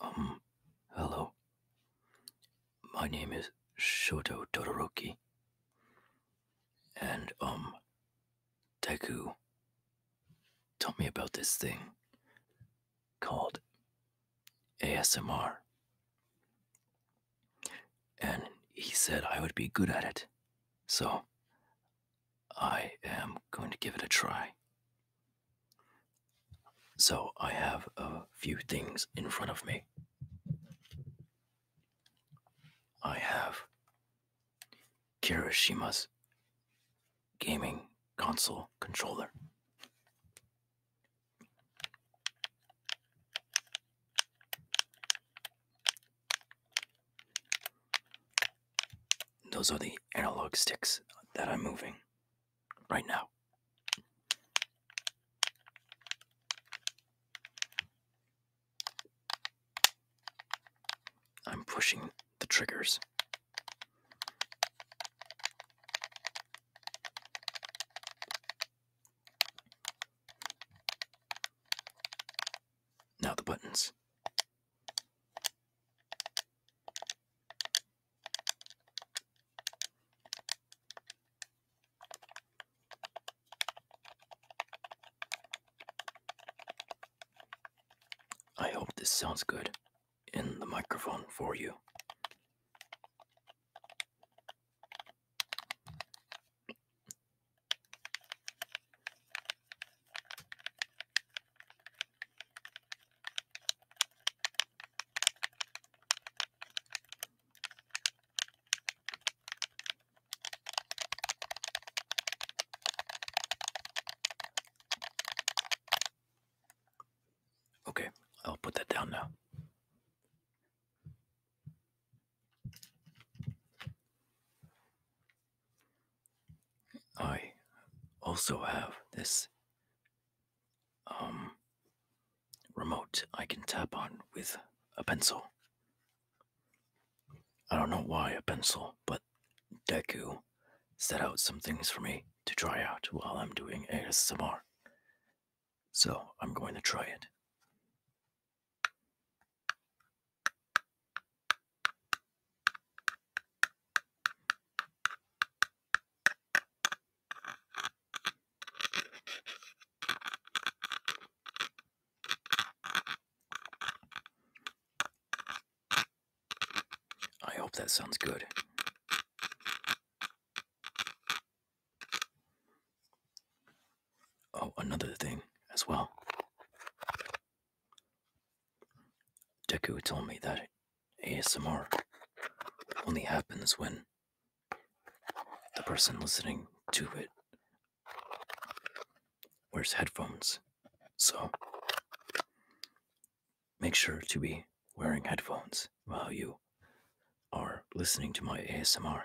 Um, hello. My name is Shoto Todoroki. And, um, Deku, tell me about this thing called ASMR. And he said I would be good at it. So, I am going to give it a try. So I have a few things in front of me. I have Kirishima's gaming console controller. Those are the analog sticks that I'm moving right now. I'm pushing the triggers. Now the buttons. I hope this sounds good in the microphone for you. Okay, I'll put that down now. I also have this um, remote I can tap on with a pencil. I don't know why a pencil, but Deku set out some things for me to try out while I'm doing ASMR. So I'm going to try it. I hope that sounds good. Oh, another thing as well. Deku told me that ASMR only happens when the person listening to it wears headphones. So make sure to be wearing headphones while you are listening to my ASMR.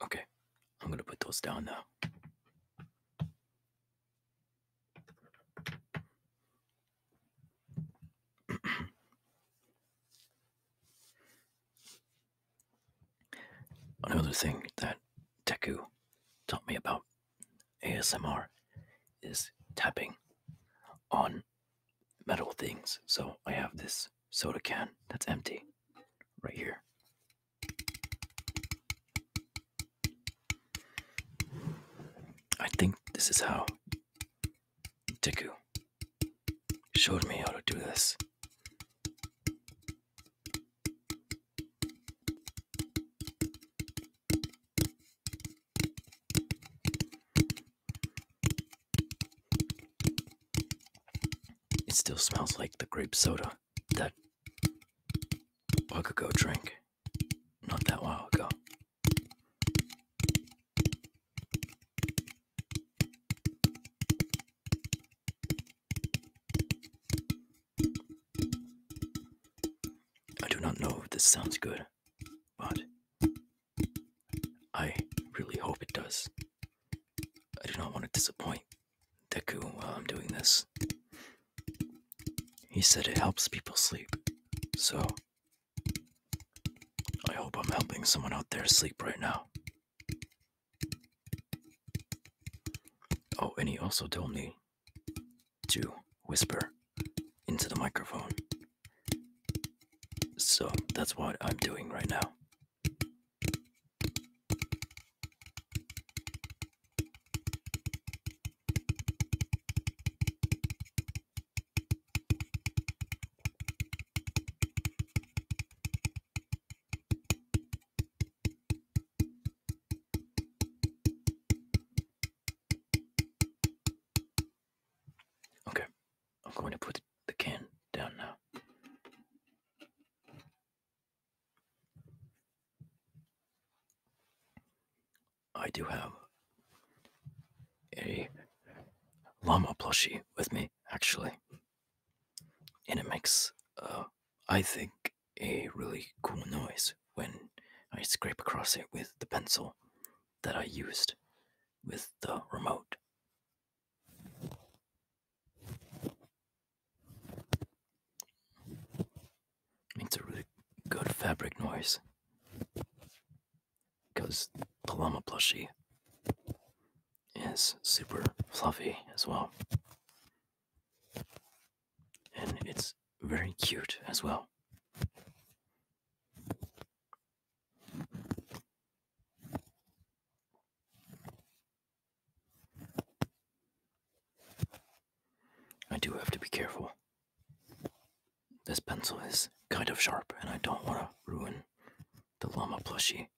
Okay, I'm going to put those down now. Another thing that Teku taught me about ASMR is tapping on metal things. So I have this soda can that's empty right here. I think this is how Teku showed me how to do this. It still smells like the grape soda that I could go drink, not that while ago. I do not know if this sounds good, but I really hope it does. I do not want to disappoint Deku while I'm doing this. He said it helps people sleep, so I hope I'm helping someone out there sleep right now. Oh, and he also told me to whisper into the microphone. So that's what I'm doing right now. Okay, I'm going to put the can down now. I do have a llama plushie with me, actually and it makes, uh, I think, a really cool noise when I scrape across it with the pencil that I used with the remote. It's a really good fabric noise because the llama plushie is super fluffy as well. And it's very cute as well. I do have to be careful. This pencil is kind of sharp, and I don't want to ruin the llama plushie.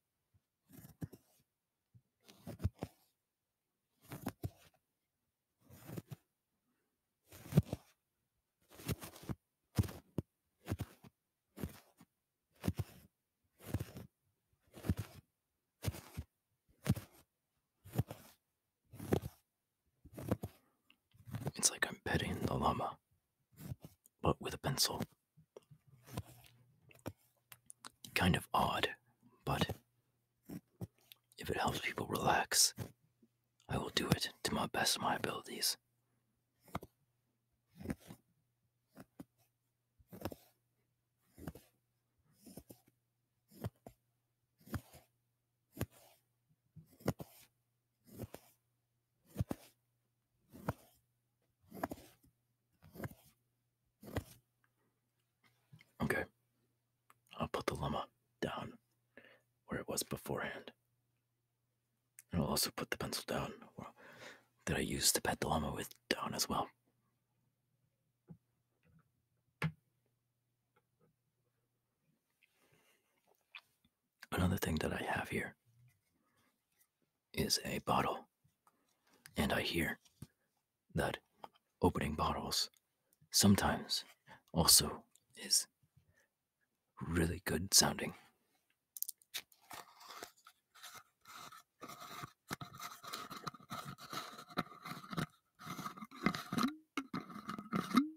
It's like I'm petting the llama but with a pencil. Kind of odd, but if it helps people relax, I will do it to my best of my abilities. Okay, I'll put the lemma down where it was beforehand. And I'll also put the pencil down that I used to pet the llama with down as well. Another thing that I have here is a bottle. And I hear that opening bottles sometimes also is really good sounding.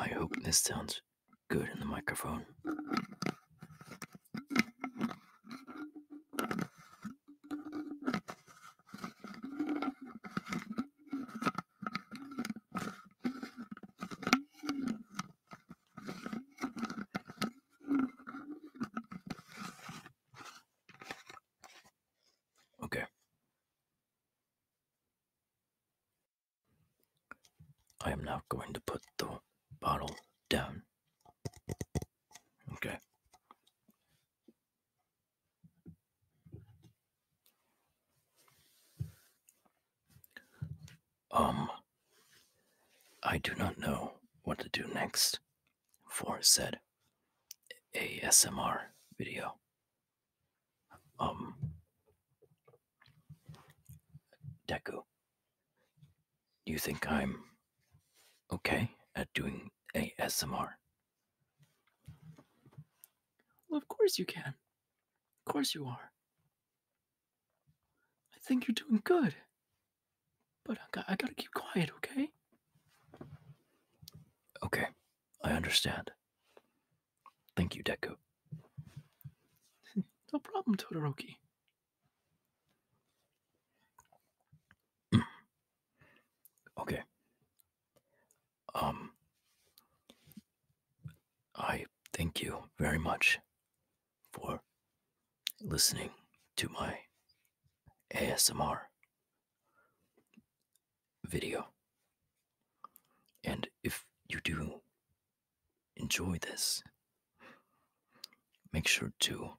I hope this sounds good in the microphone. Okay. I am now going to put the bottle down. Okay. Um, I do not know what to do next for said ASMR video. Um, Deku, you think I'm okay at doing doing ASMR. Well, of course you can. Of course you are. I think you're doing good. But I, got, I gotta keep quiet, okay? Okay, I understand. Thank you, Deku. no problem, Todoroki. okay, um, I thank you very much for listening to my ASMR video. And if you do enjoy this, make sure to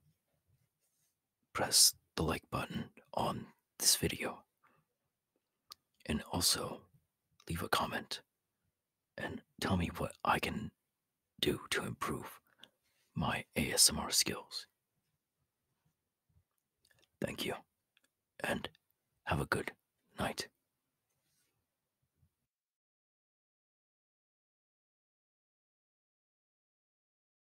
press the like button on this video and also leave a comment and tell me what I can do to improve my ASMR skills. Thank you and have a good night.